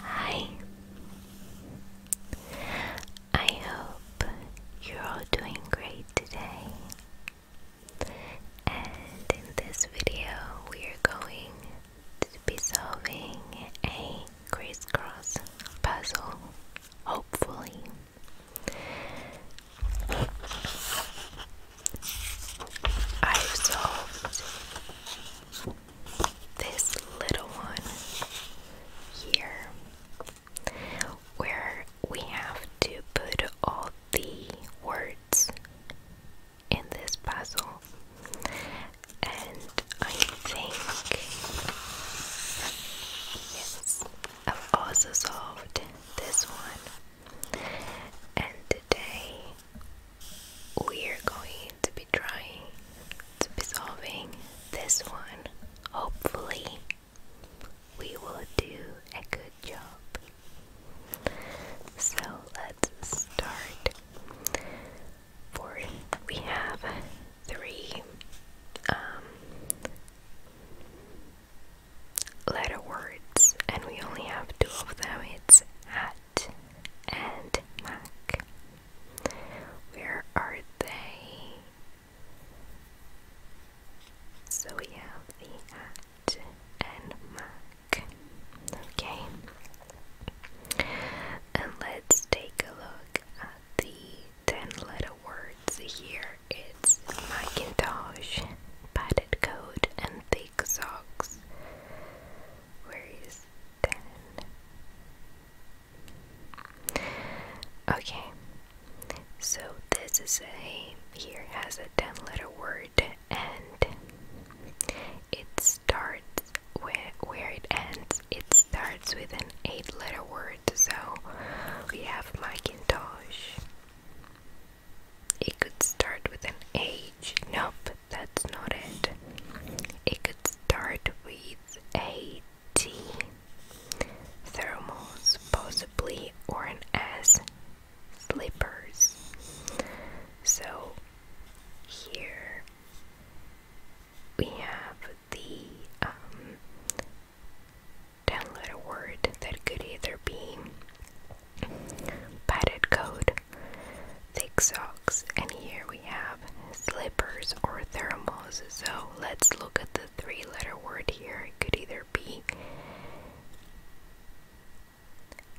Hi. I hope you're all doing great today. And in this video, we are going to be solving a crisscross puzzle, hopefully. I've solved this little one here where we have to put all the words in this puzzle. And I think, yes, I've also solved this one. And today we're going to be trying to be solving this one. Hopefully, we will do a good job. So let's start. For we have three um, letter words, and we only have two of them. It's hat and Mac. Where are they? So we have the at and Mac. Okay. And let's take a look at the 10 letter words here. It's Macintosh, padded coat, and thick socks. Where is ten? Okay. So this is a here has a ten letter word and it starts where where it ends. It starts with an eight letter word. So we have my Macintosh. It could start with an age. Nope, that's not it. It could start with a T, thermos, possibly, or an S, slippers. So here we have the um, 10 letter word that could either be padded code thick socks, and here we have slippers or thermals. So let's look at the three letter word here. It could either be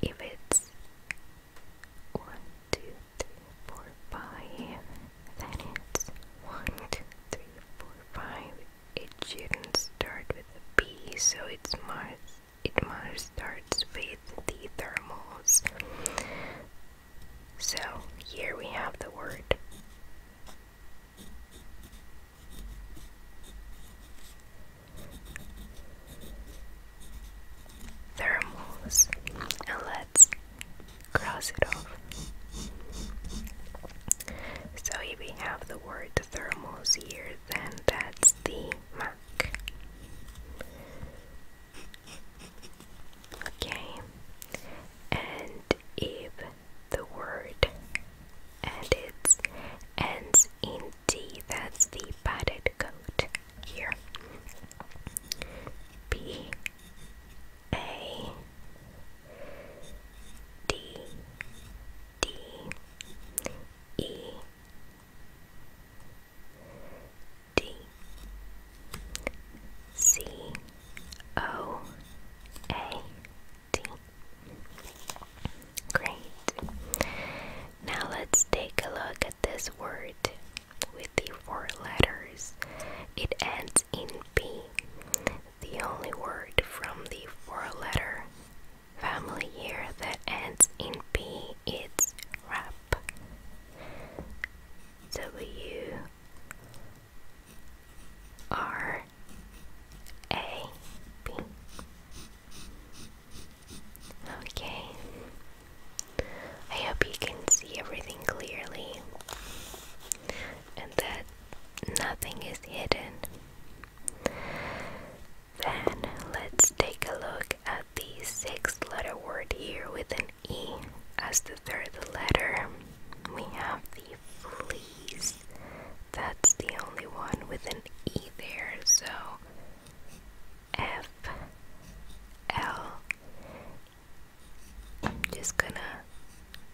if it's one, two, three, four, five, then it's one, two, three, four, five. It shouldn't start with a B, so it's Mars it must starts with the thermals. So here we have the word. Thermals, and let's cross it off. So, here we have the word thermals here, then that's the mark. Okay, and if the word and it ends in D, that's the padded coat here. B A D D E D C O A D. Great. Now let's take a look at this word with the four letters. It ends in P, the only word from the four letter family here that ends in P is rap up W R A B. Okay. I hope you can see everything clearly and that nothing is hidden. Then let's take a look at the sixth letter word here with an E as the third letter. We have the fleas. That's the only one with an E there, so F L. I'm just gonna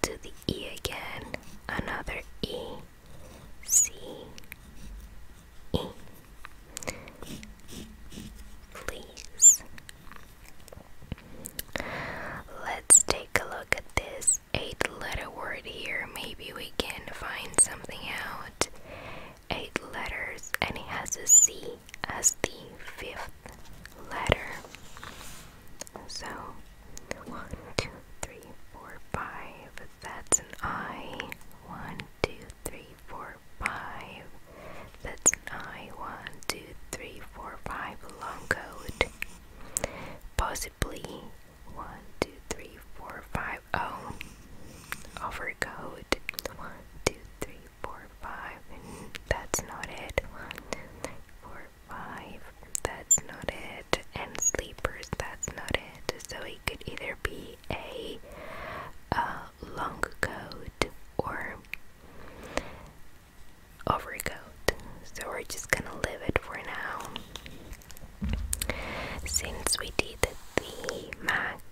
do the E again, another E, C, Please. Let's take a look at this eight letter word here. Maybe we can find something out. Eight letters, and it has a C as the fifth letter. So, one, two, three, four, five. That's an I. One, two, three, four, five. That's nine. One, two, three, four, five. Long coat. Possibly. One, two, three, four, five. Oh. Overcoat. One, two, three, four, five. that's not it. One, two, three, four, five. That's not it. And sleepers. That's not it. So it could either be a. Um, long coat or overcoat. So we're just gonna leave it for now. Since we did the Mac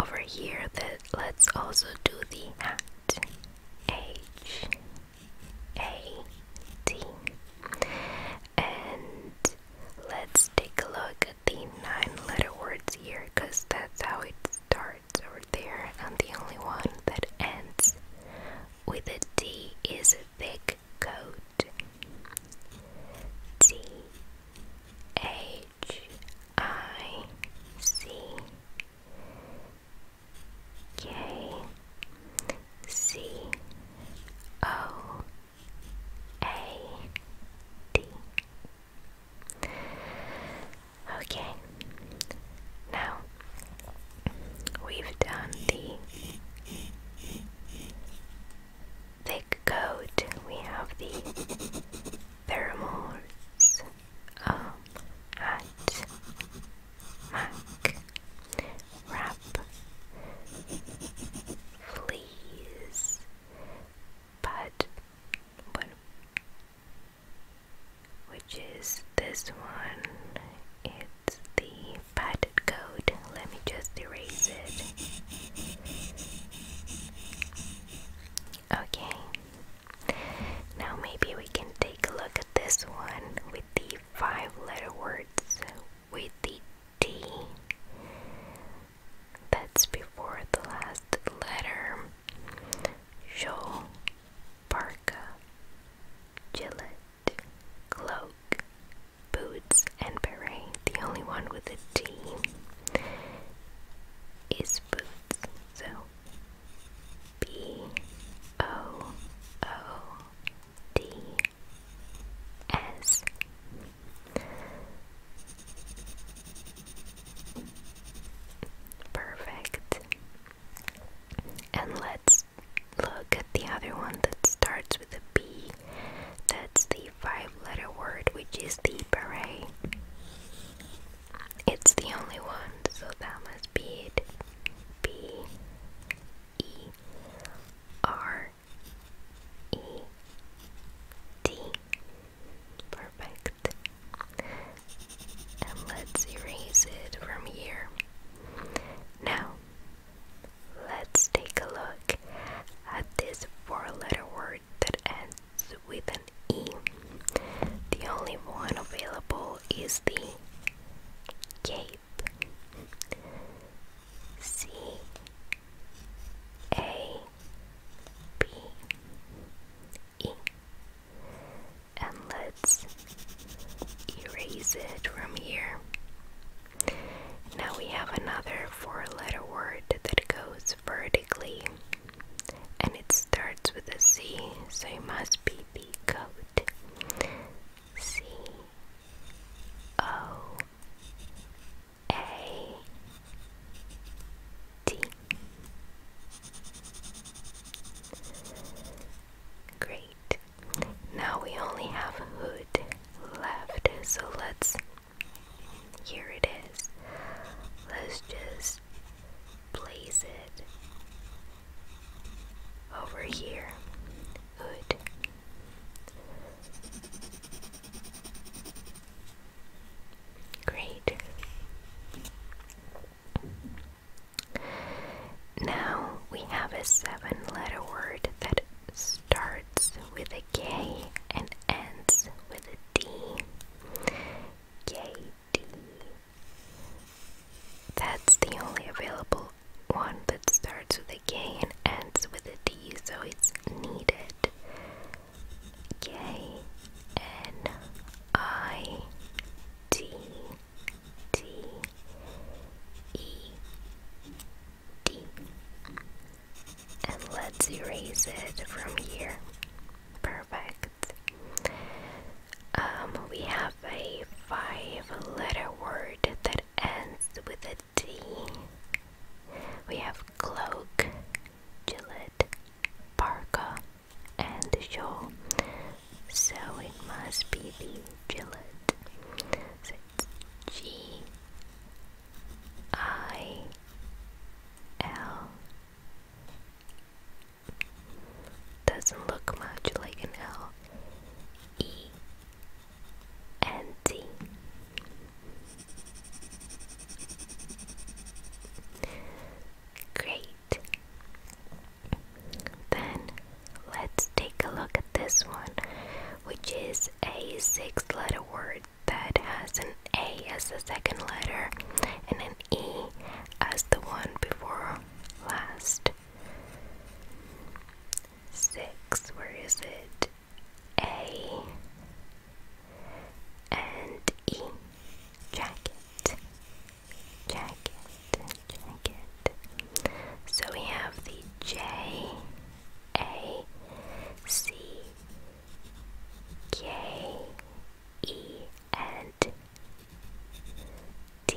over here, that let's also do the hat. H A T. And let's take a look the nine letter words here because that's how it starts over there, and the only one that ends with a D is a thick coat. T H I C K C O A D Okay, now we've done the thick coat, we have the pheromones um, at Mac wrap fleas but bueno, which is this one. It's the padded code. Let me just erase it. Okay. Now maybe we can take a look at this one with the five letter words with the T that's before the last letter. Shawl, parka, gillet, cloak, boots, and beret. The only one with a T is boots. So B O O D S Perfect. And let's look at the other one that starts with a B. That's the five letter word, which is the beret. It's the only one, so that must be it. B E R E T Perfect. let's erase it from here. Now, let's take a look at this four letter word that ends with an E. The only one available is the cape. C a B E and let's erase it from here. Now we have another four letter word that goes vertically and it starts with a C, so it must be B coat. C O a T Great. Now we only have hood left, so let's here it is. Let's just place it over here. Hood. Great. Now we have a seven letter word that starts with a K and ends with a D. That's the only available one that starts with a K and ends with a D, so it's needed. K N I T T E D. And let's erase it from here. Perfect. Um, we have a five letter word that ends with a D. We have cloak, parka, and shawl, so it must be the Gillette. G I L. Doesn't look much like an L. E Great. Then let's take a look at this one, which is a six letter word that has an A as the second letter and an E as the one before last. Six, where is it? A and E. Jacket, jacket, jacket. So we have the J, A, C, K, E, and D.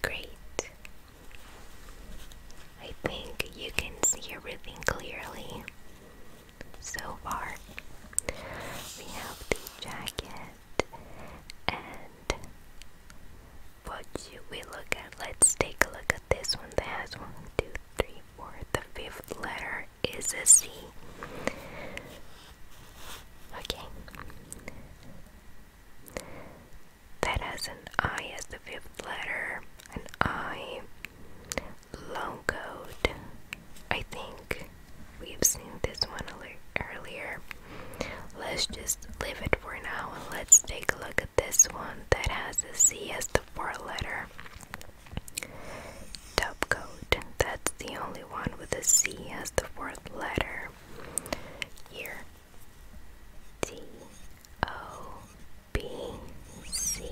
Great. I think you can see everything clearly so far. We have the jacket and what should we look at? Let's take a look at this one that one, two, three, four. The fifth letter is a C. Okay that has an I as the fifth letter, an I, long code. I think we've seen this one earlier. Let's just leave it for now and let's take a look at this one that has a C as the fourth letter. Top code. That's the only one with a C as the fourth letter. Here, D O B C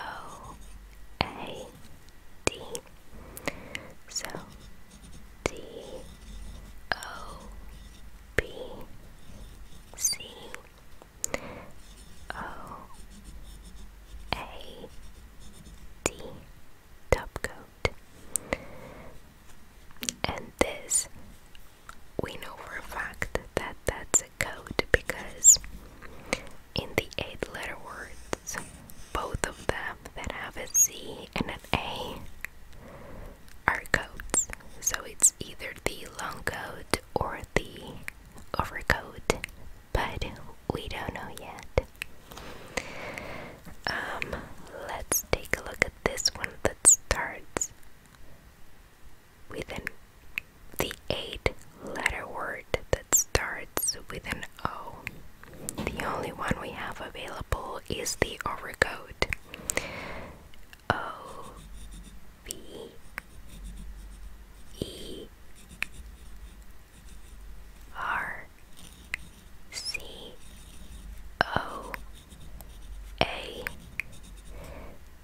O A D. So D O B C O A D top And this we know for a fact that that's a code because in the eight letter words, both of them that have a C and an A are codes. So it's either the long code or the overcode, but we don't know yet. Um, let's take a look at this one that starts with an the eight letter word that starts with an O. The only one we have available is the overcoat. O V E R C O a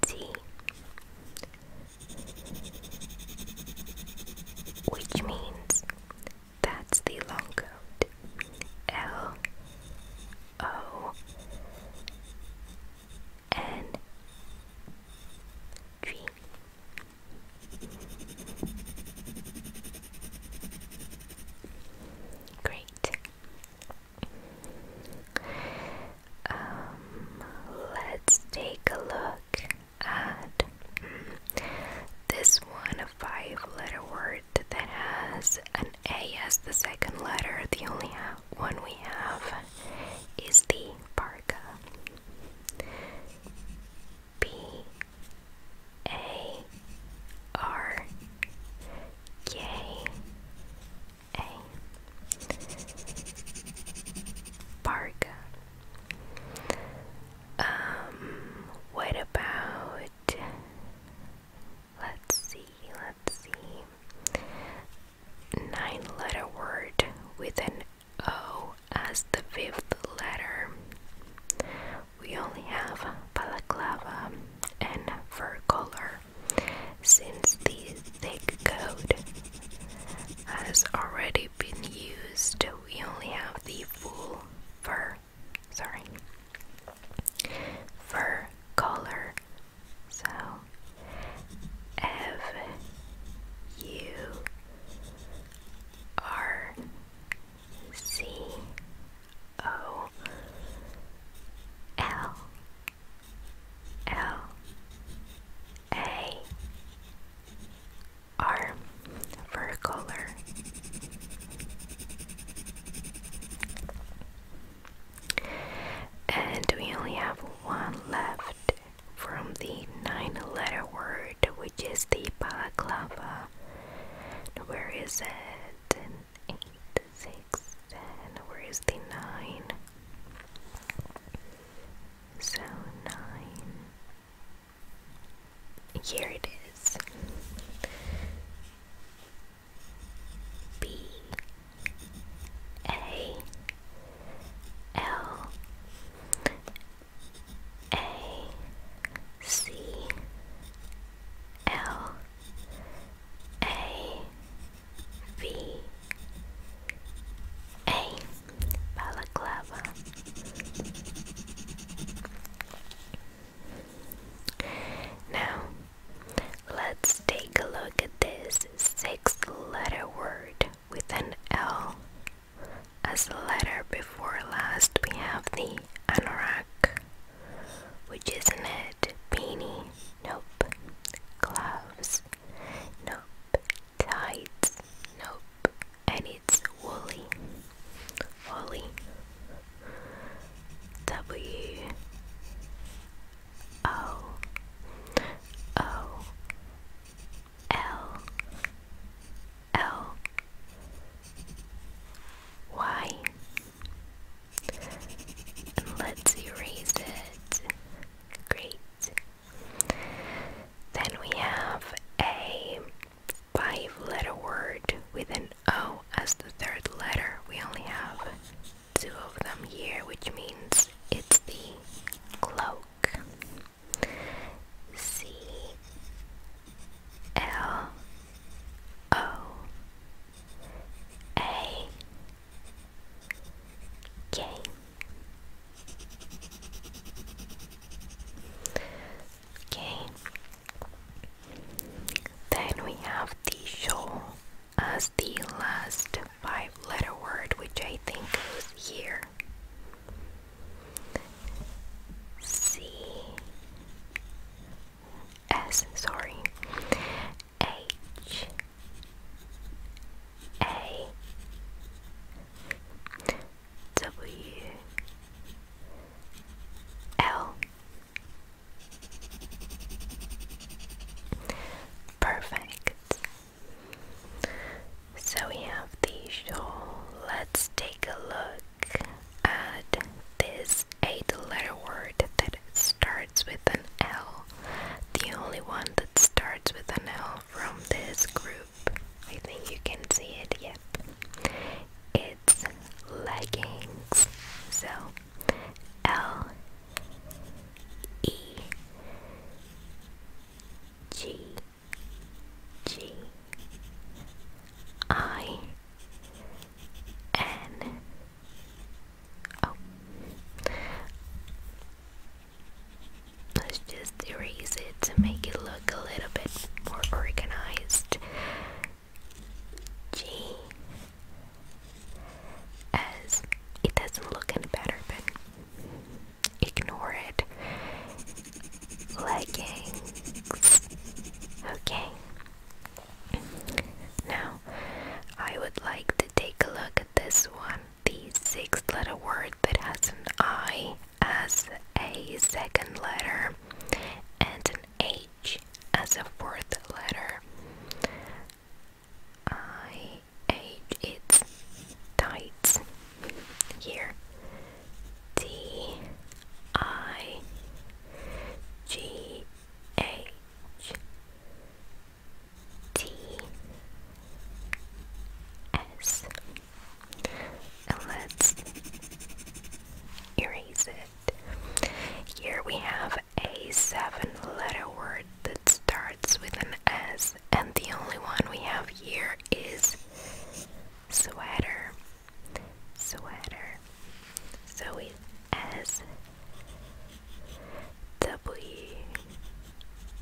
T, which means that's the long code. L O N G. Great. Um, let's take a look at this one, a five letter word that has an A as the second letter. The only one we have is the parka. P A R K a park. Um, what about? Let's see, let's see. Nine letter word with an O as the fifth letter. We only have balaclava and fur color since the thick coat has already been used, we only have the full fur, sorry, fur color. So, F U R C O L L A R for color. And we only have one left from the nine letter word, which is the balaclava. Where is it? eight, six, ten. Where is the nine? So nine. Here it is. B A L A C L A V A balaclava. Now, let's take a look at this six letter word with an L. As the letter before last, we have the anorak which isn't it? Beanie? Nope. Gloves? Nope. Tights? Nope. And it's woolly. Woolly. W. O. O. L. L. Y. Let's erase it. Great. Then we have a five letter word with an O as the third letter. We only have two of them here, which means it's the cloak. C L O A Okay. Okay. Then we have the show as the last five letter word, which I think is here. C S sorry H A W L Perfect. So we have the shawl. Let's take a look at this a letter word that starts with an L. The only one that starts with an L from this group. I think you can see it. Yep. It's leggings. So L E G G I N Oh. Let's just erase it to make it look a little bit more organized. G. it doesn't look any better, but ignore it. Leggings. Okay. Now, I would like to take a look at this one, the sixth letter word that has an I as a second letter and an H as a fourth letter. I H it's tights here. T I G H T S. let's erase it. Here we have a seven letter word that starts with an S, and the only one we have here is sweater. Sweater. So it's S W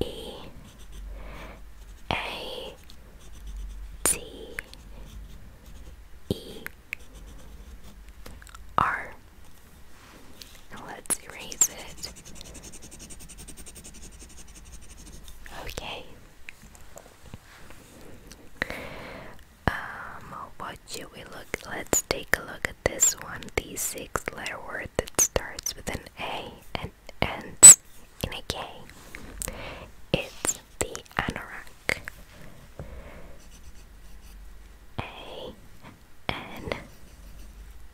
E A T E R. let's erase it. Okay. Um, what should we look? Let's take a look this one, the 6 letter word that starts with an A and ends in a K. It's the anorak. A N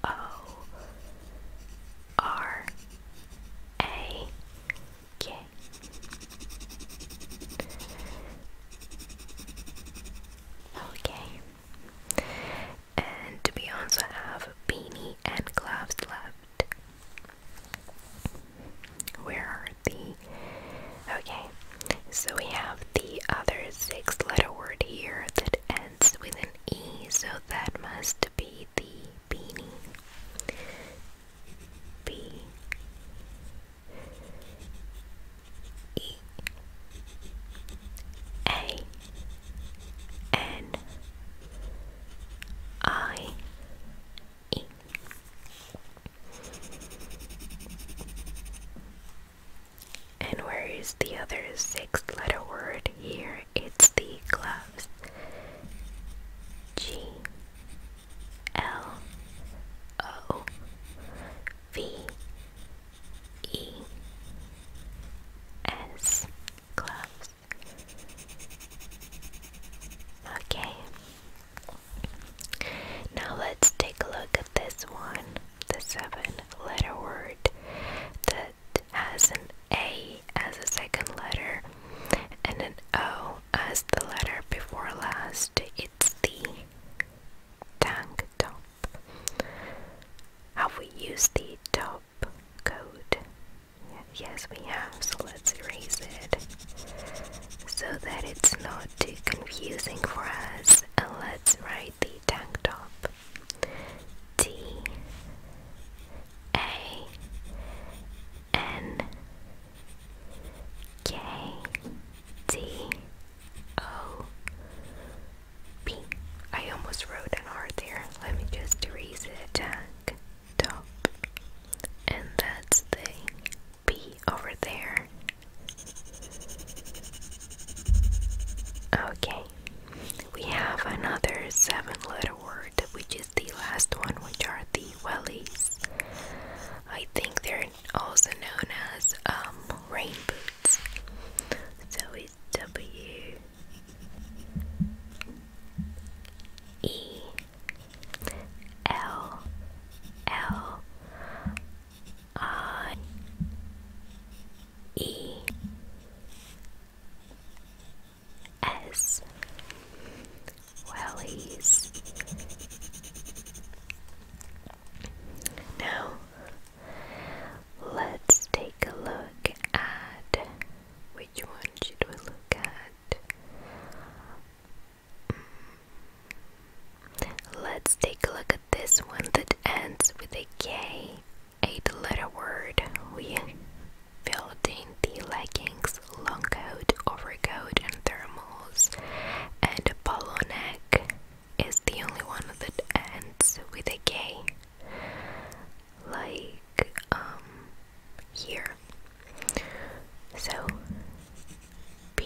O R A K. Okay. And we also have beanie and gloves left. Where are the. Okay, so we have the other six letter word here that ends with an E, so that must be the beanie. B. E A N I E and where is the other sixth letter word here? It's the gloves. G L O V E S gloves. Okay. Now let's take a look at this one, the seven letter word that has an A as a second letter and an O as the letter before last. It's the tank top. Have we used the top code? Yes, we have, so let's erase it so that it's not too confusing for us. And let's write the tank top T A N K T O P. I almost wrote an R there. Let me just erase it. Tack, top. And that's the P over there. Okay. We have another seven letter word, which is the last one, which are the wellies. I think they're also known as um, rain boots. So it's W E L L I E S Wellies. Now, Let's take a look at which one should we look at? Mm. Let's take a look at this one that ends with a K, eight letter word. We filled in the leggings, long coat, overcoat, and thermals, and a polo neck is the only one that ends with a K. Like, um, here. So, B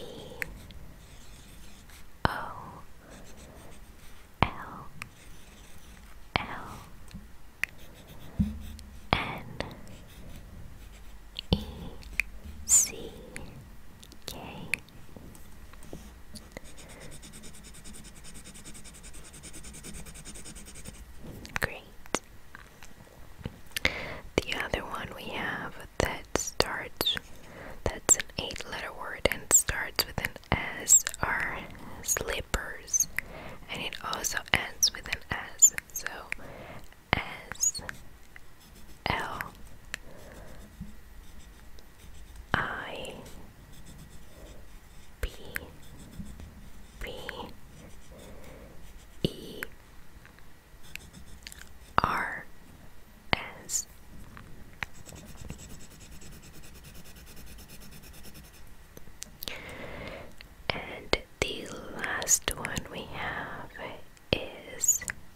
O L L N E C K Great. The other one we have that starts, that's an eight letter word and starts with an S, are slippers. And it also ends with an S. So, S, L I B B E R S and the last one we have is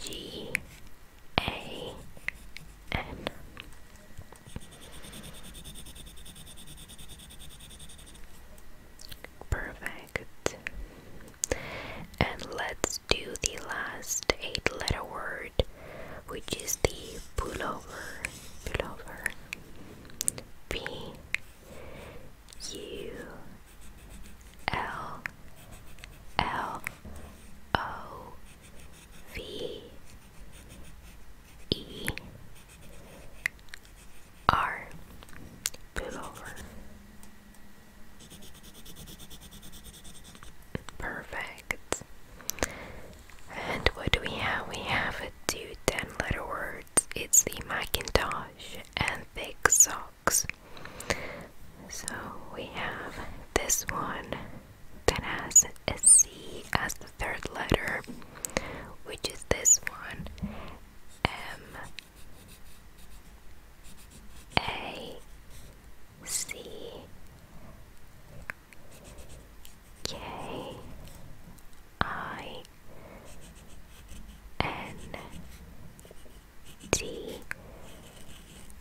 G A N. Perfect. And let's do the last eight letter word, which is the pullover. Pullover. P U L L O V E R Perfect. And what do we have? We have a two ten letter word. It's the Macintosh and thick sauce. So we have this one that has a C as the third letter, which is this one M A C K I N D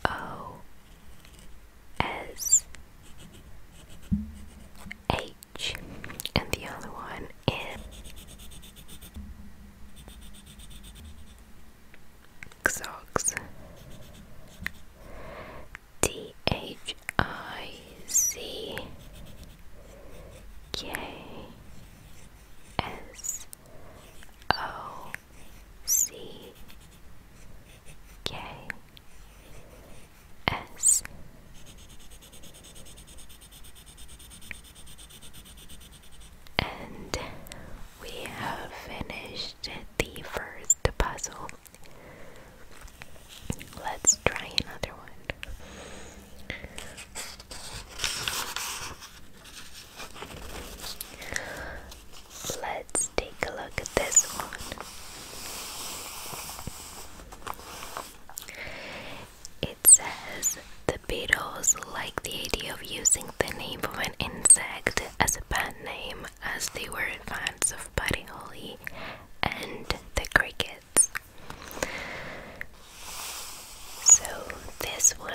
O S H, and the other one is Xox. O C K S and we have finished the first puzzle. Let's try another one. Let's take a look at this one. It says the Beatles liked the idea of using the name of an insect as a band name as they were fans of Buddy Holly and the crickets. So this one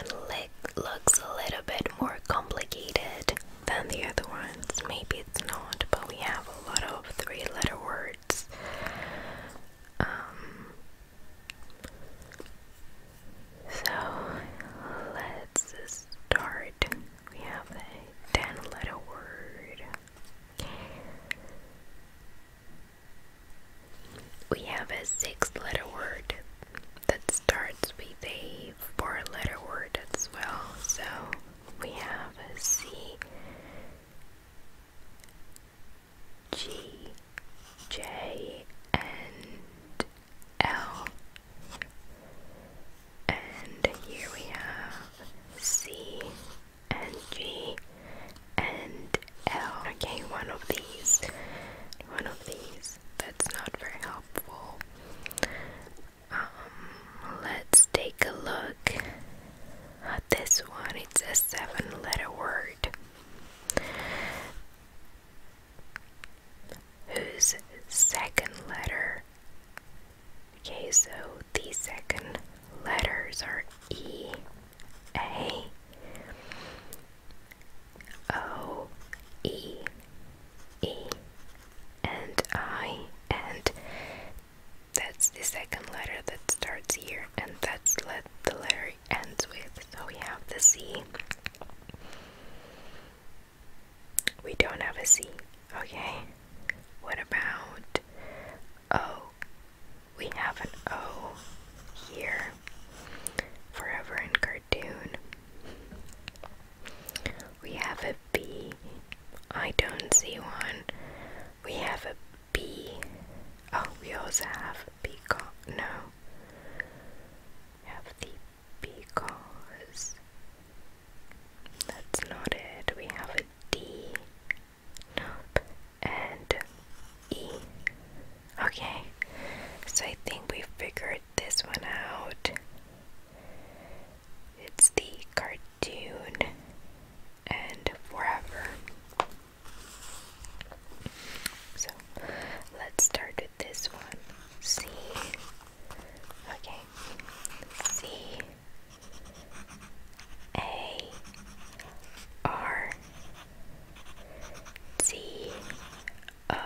looks a little bit more complicated than the other ones. Maybe it's not, but we have a lot of three letter words. Um, so let's start. We have a 10 letter word. We have a six letter word that starts with a four letter word as well. So we have a C, G, J, and L. And here we have C and G and L. Okay, one of these, one of these that's not very helpful. Um, let's take a look at this one. It's a seven letter word. Whose second letter? Okay, so the second letters are E, A, O E E and I and that's the second letter that starts here and that's the letter ends with so we have the C we don't have a C okay what about O we have an O here forever in cartoon we have a don't see one. We have a B. Oh, we also have a peacock. No. have the peacocks. That's not it. We have a D. Nope. And E. Okay. So I think we figured this one out. It's the cartoon and forever. So let's start with this one. C. Okay. C. A. R. C. O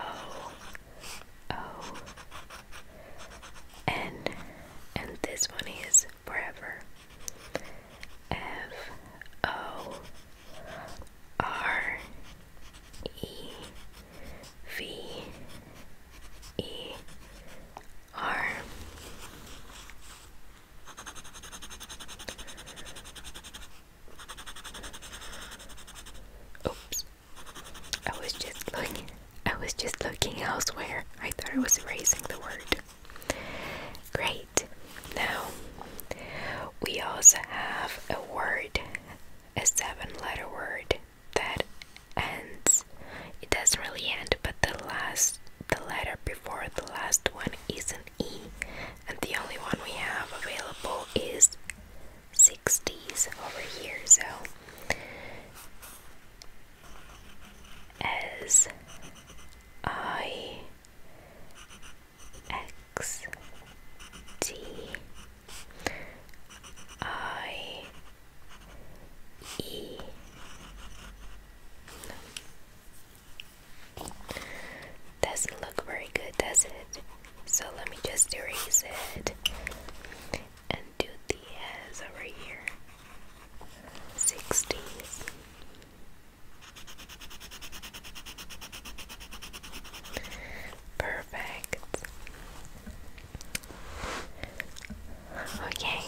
O N and this one is forever F O R E V E R Oops I was just looking. I was just looking elsewhere. I thought I was erasing the word. Great. Now we also have a word, a seven-letter word that ends. It doesn't really end, but the last, the letter before the last one is an e, and the only one we have available is 60s over here. So, as I X T I E doesn't look very good, does it? So let me just erase it and do the S over here. 60s. Perfect. Okay.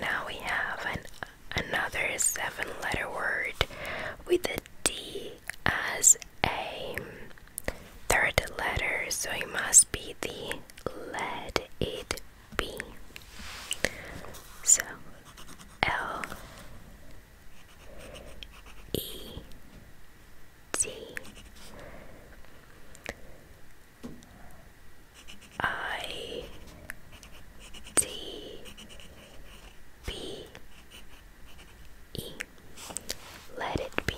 Now we have an another seven letter word with a D as a third letter, so it must be the let it be. So L E T I T B E let it be.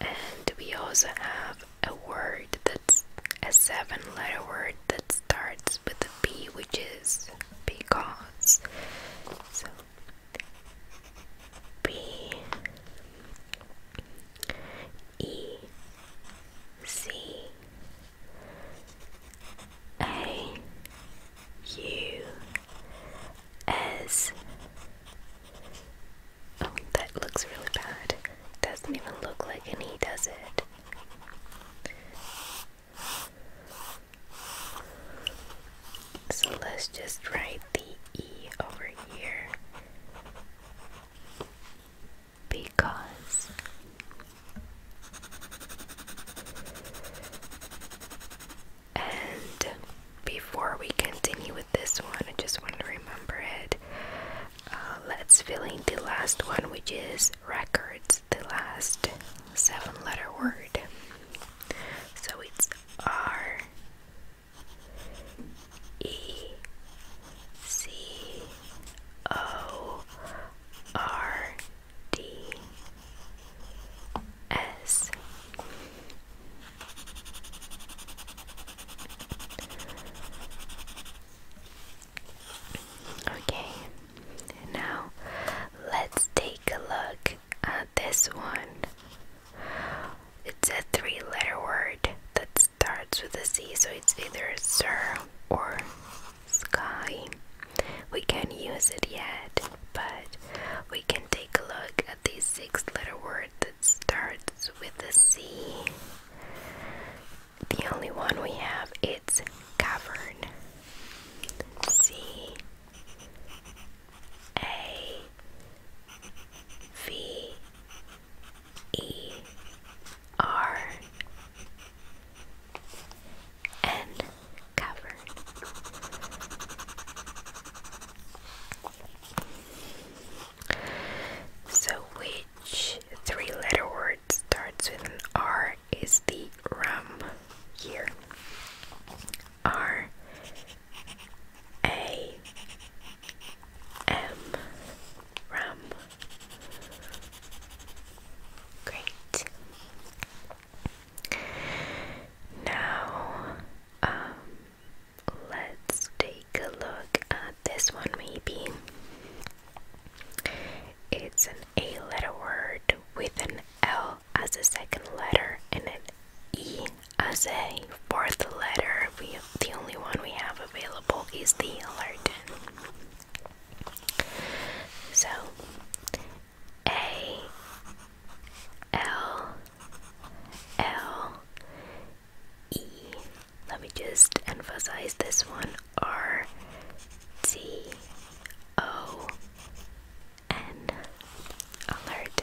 And we also have a word that's a seven letter word that starts with a B, which is because. So, B E C a U S. Oh, that looks really bad. Doesn't even look like an E, does it? So let's just write the E over here because and before we continue with this one, I just want to remember it. Uh, let's fill in the last one, which is records, the last seven letter word. So it's R E C O R D S Okay, now let's take a look at this one. It's a three letter word that starts with a C, so it's either sir or sky. We can't use it yet, but we can take a look at this six letter word that starts with the C. The only one we have it's cavern. C A V E R and cover. So, which three letter word starts with an R is the rum here? R A M rum. Great. Now, um, let's take a look at this one, maybe. It's an A letter word with an L as a second letter and an E as a fourth letter. We, the only one we have available is the allergen. So A L L E. Let me just emphasize this one. R T O N. Alert.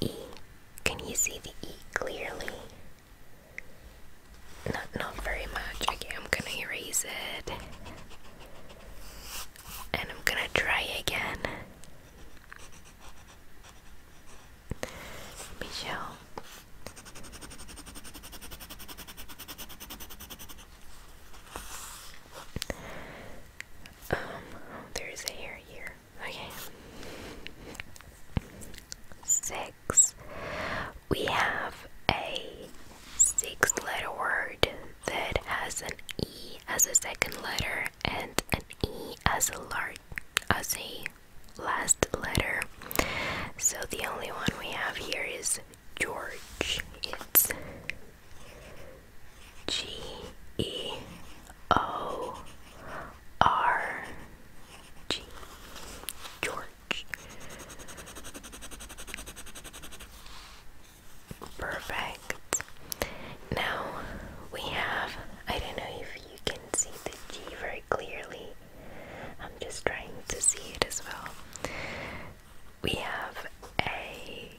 E. Can you see the E clearly? Not, not very much. Okay, I'm gonna erase it. And I'm gonna try again. Michelle. Um, there's a hair here. Okay. Six. We have a six letter word that has an E as a second letter and an E as a large as a last letter. So the only one we have here is George. It's G E O R G George. Perfect. Now we have, I don't know if you can see the G very clearly. I'm just trying to see it as well. We have a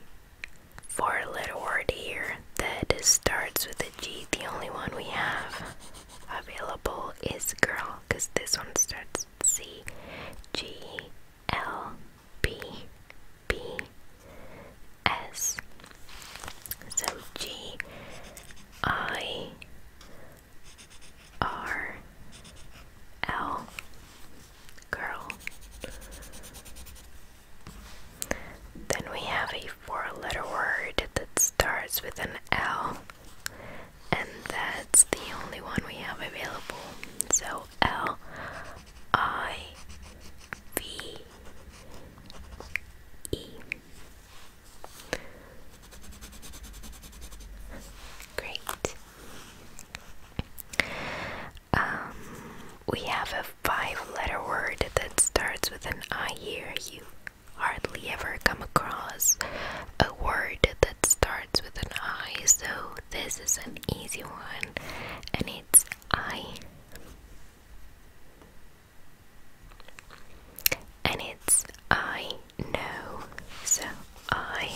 for a little word here that starts with a G, the only one we have available is girl, because this one starts C. G L B B S. So G I R L girl then we have a four letter word that starts with an L, and that's the only one we have available. So L I V E. Great. Um, we have a five letter word that starts with an I here. You hardly ever come across a word that starts with an I, so this is an easy one, and it's I. And it's I know, so I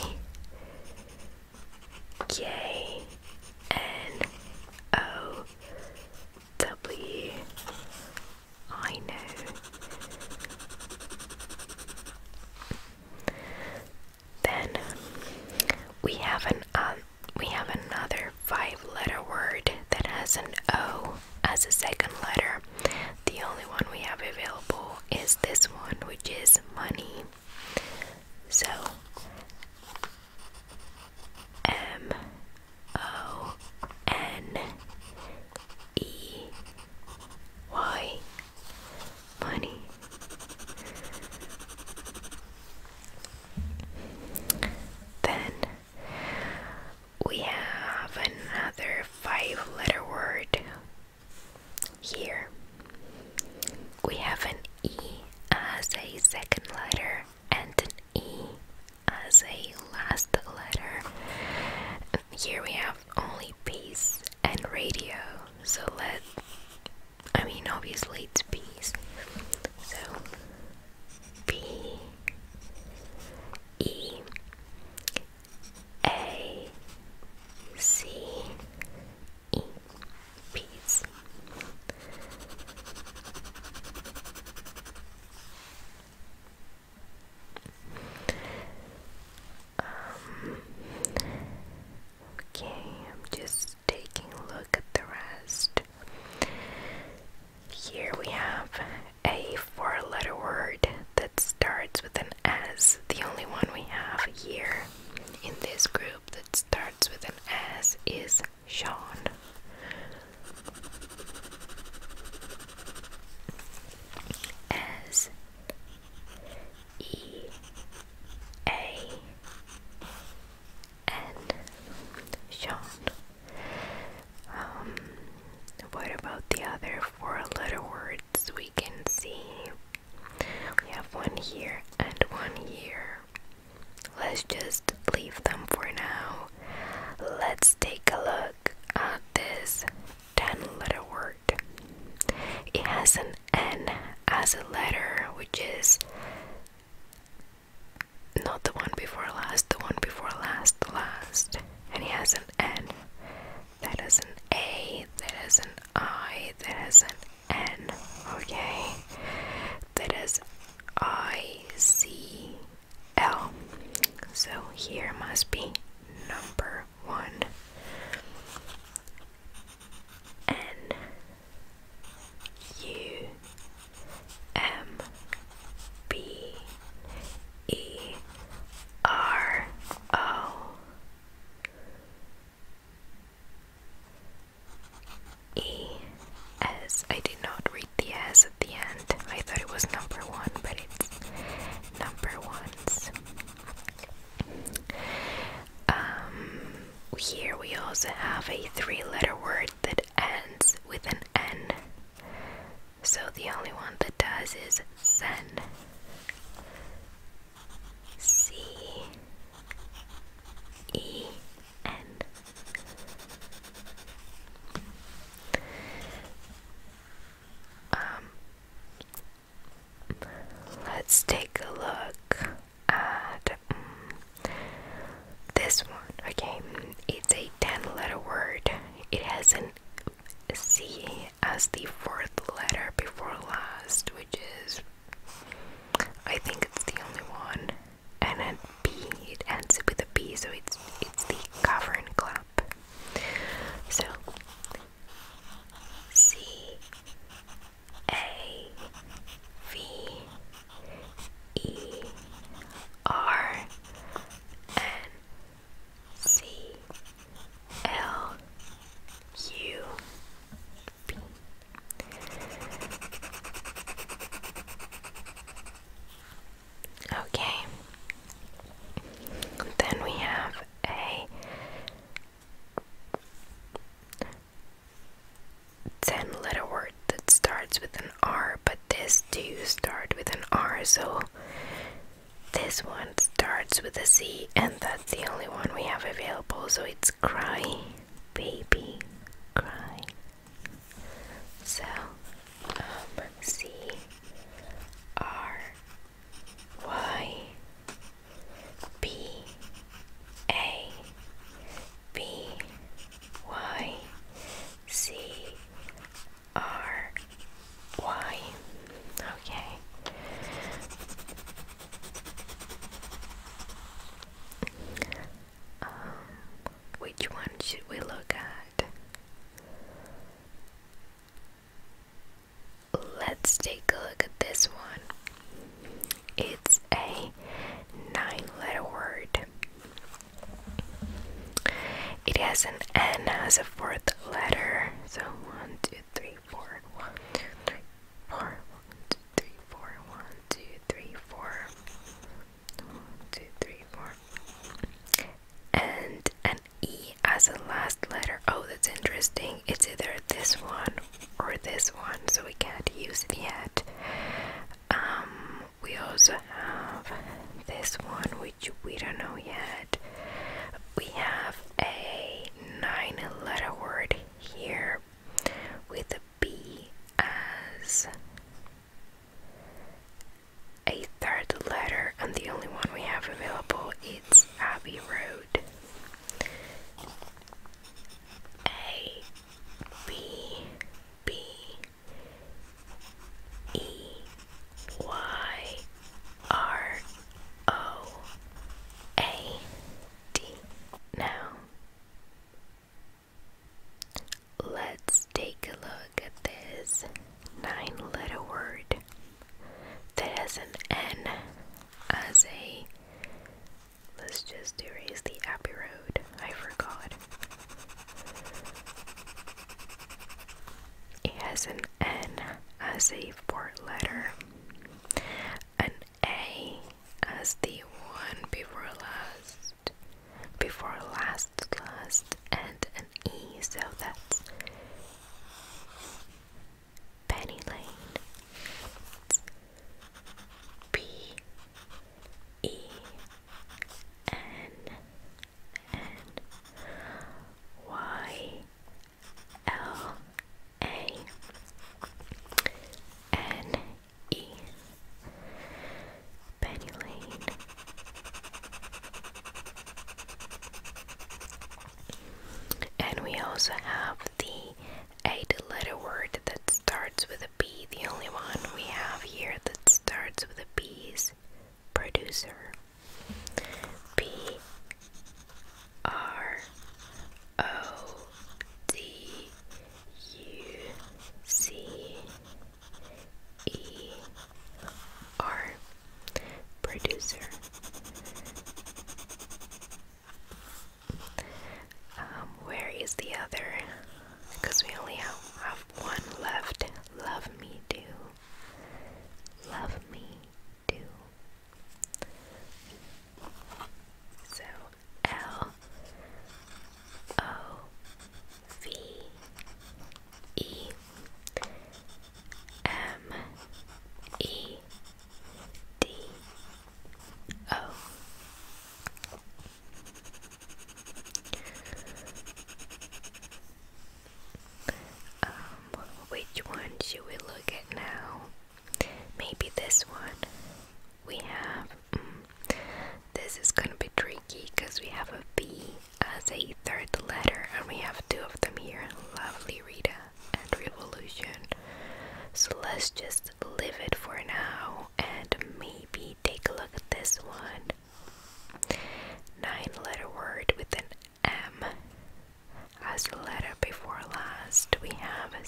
J N O W. I know. Then we have an um, we have another five-letter word that has an O as a second letter. The only one we have available is this one, which is money. So M O N E Y money. Then we have another five letter word here. We have an E as a second letter and an E as a last letter. Here we have only peace and radio, so let I mean obviously it's peace. So P E A C E Peace. Um, okay, I'm just taking a look at the rest. Here we have a four letter word that starts with an S, the only one we have here in this group that starts with an S is Sean. S E A N Sean. Um, what about the other four letter words we can see? We have one here and one here let's just leave them for now. Let's take a look at this 10 letter word. It has an N as a letter, which is not the one before last, the one before last, last. And he has an N. That is an A, That is an I, That is an N. Okay, that is I C L. So here must be number one. N U M B E R O E S. I did not read the S at the end. I thought it was number one, but it's number ones. Um, here we also have a three letter word that ends with an N. So the only one that does is Zen. C E um, let's take a look at mm, this one. Okay, it's a 10 letter word. It has an C as the fourth letter before last, which is, I think it's the only one and then it ends with a B, so it's it's the cover and clap. So C A V E R N C L U B Okay. Then we have a ten letter word that starts with an R, but this do start with an R, so this one starts with a C, and that's the only one we have available, so it's cry baby crying. So, um, C R Y B A B Y C R Y. Okay. Um, which one should we look at? Let's take a look at this one. It's a nine letter word. It has an N as a fourth letter. So one, two, three, four, one, two, three, four, one, two, three, four, one, two, three, four. And an E as a last letter. Oh, that's interesting. It's either this one or this one, so we can't use it yet. Um, we also have this one, which we don't know yet. We have a nine letter word here with a B as a third letter, and the only one we have available It's Abbey Road. A B B E Y R O A D. Now, Let's take a look at this nine letter word that has an N as a. Let's just erase the Abbey Road. I forgot. It has an N as a fourth letter. An a as the one before last, before last, last, and an E, so that's Penny Lane. It's P E N N Y L A N E. Penny Lane. And we also have the eight letter word that starts with a B. The only one we have here that starts with a B is producer. P R O D U C E R producer. Um, where is the other? Because we only have one left. Love me do. Love me do. So L O V E M E D O. Um, which one should we look at now? Maybe this one we have mm, this is gonna be tricky because we have a B as a third letter and we have two of them here lovely Rita and Revolution. So let's just leave it for now and maybe take a look at this one. Nine letter word with an M. As the letter before last, we have a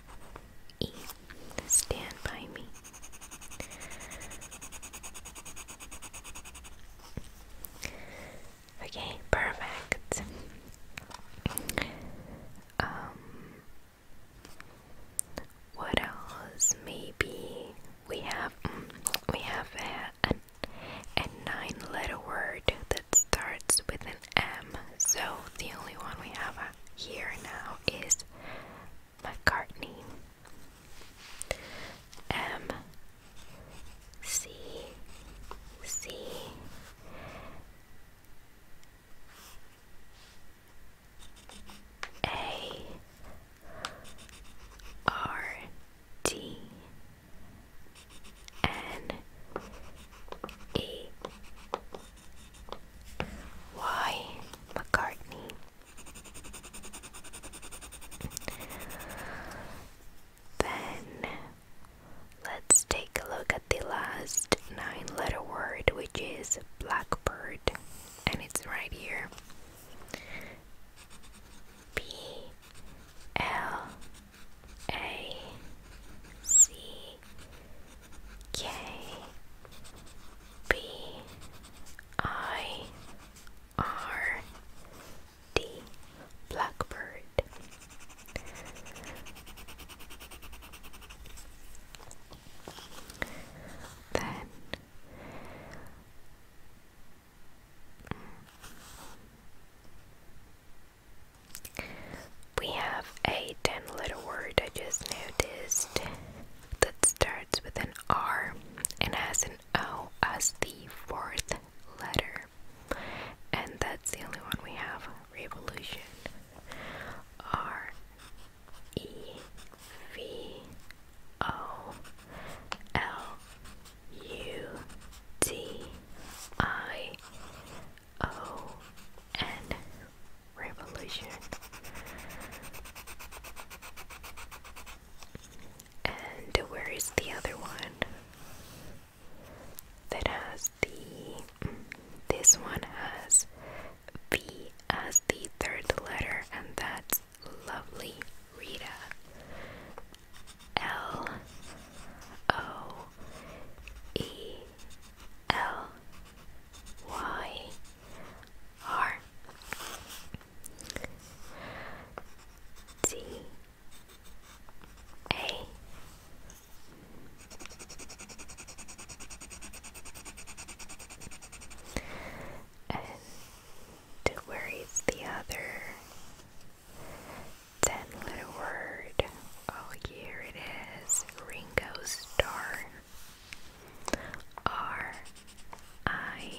E. Stand by me. Okay, perfect. Um, what else? Maybe we have mm, we have a, a nine-letter word that starts with an M. So the only one we have here now is McCartney M C C A R T N E why McCartney? Then let's take a look at the last nine letter word, which is blackbird, and it's right here B L A C K B I R D Blackbird. Then we have a 10 letter word I just noticed that starts with an R and has an O as the fourth letter. And that's the only one we have revolution. R E V O L U T I O and revolution. And where is the other one? That has the. This one has V as the third letter, and that's lovely Rita. L O E L Y R T A and where is the other then little word? Oh, here it is Ringo Star. R I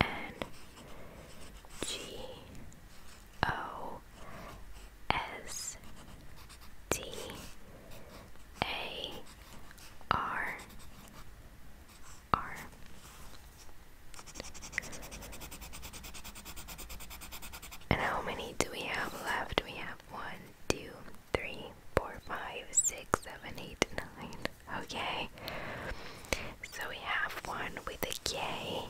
N G O S T A R R and how many do we have left? We have one, two, three, four, five, six, seven, eight, nine. Okay. So we have one with a K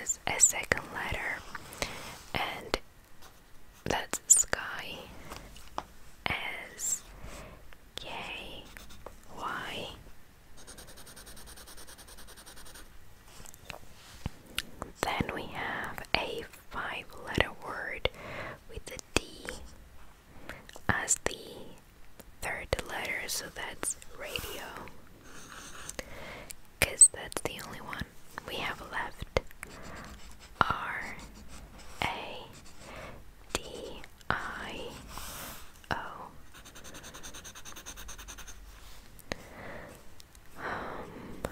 as a second letter, and that's sky. As K Y. Then we have a five letter word with the D as the third letter, so that's radio. Because that's the only one we have left. R A D I O. Um,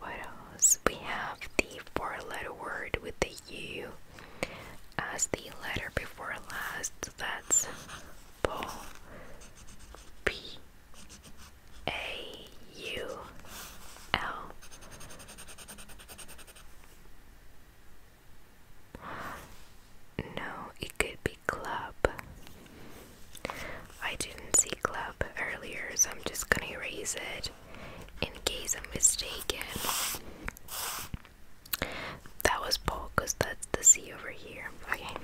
what else? We have the four letter word with the U as the letter before last. That's Paul. No, it could be club. I didn't see club earlier, so I'm just gonna erase it in case I'm mistaken. That was Paul because that's the C over here. Okay.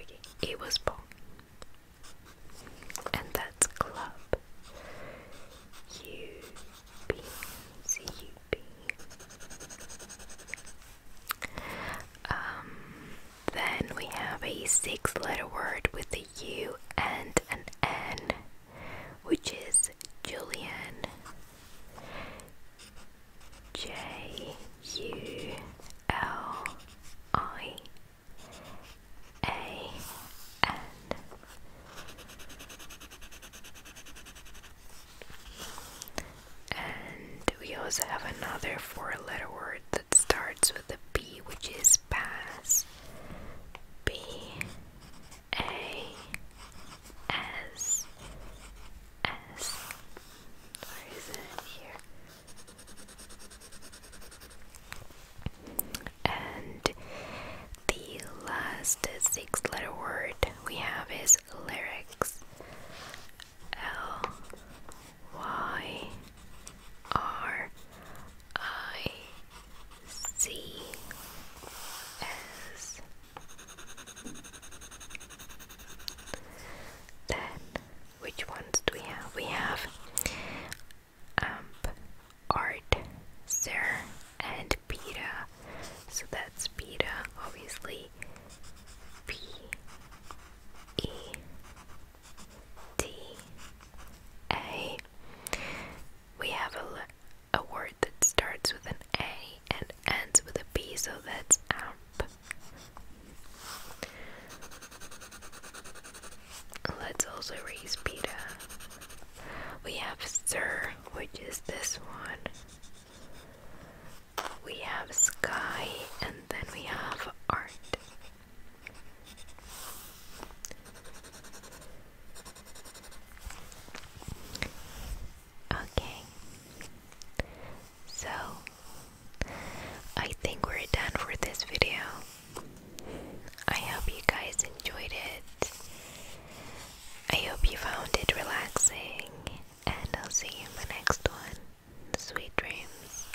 Okay, it was Paul. And that's club. U B C U B. Um, then we have a six letter word with U and an N, which is Julian. J U L I A N. And we also have another four letter word that starts with a B, which is pass. B A S S. Where is it here? And the last six letter word we have is lyrics. L Y R I C S then which ones do we have? We have Amp, Art, Sir, and Peta. So that's beta. obviously. P E T A we have a, a word that starts with an A and ends with a B, so that's amp. Let's also raise beta. We have sir, which is this one. We have sky, and then we have art. Okay. So, I think we're done for this video. I hope you guys enjoyed it. I hope you found it relaxing, and I'll see you in the next one. Sweet dreams.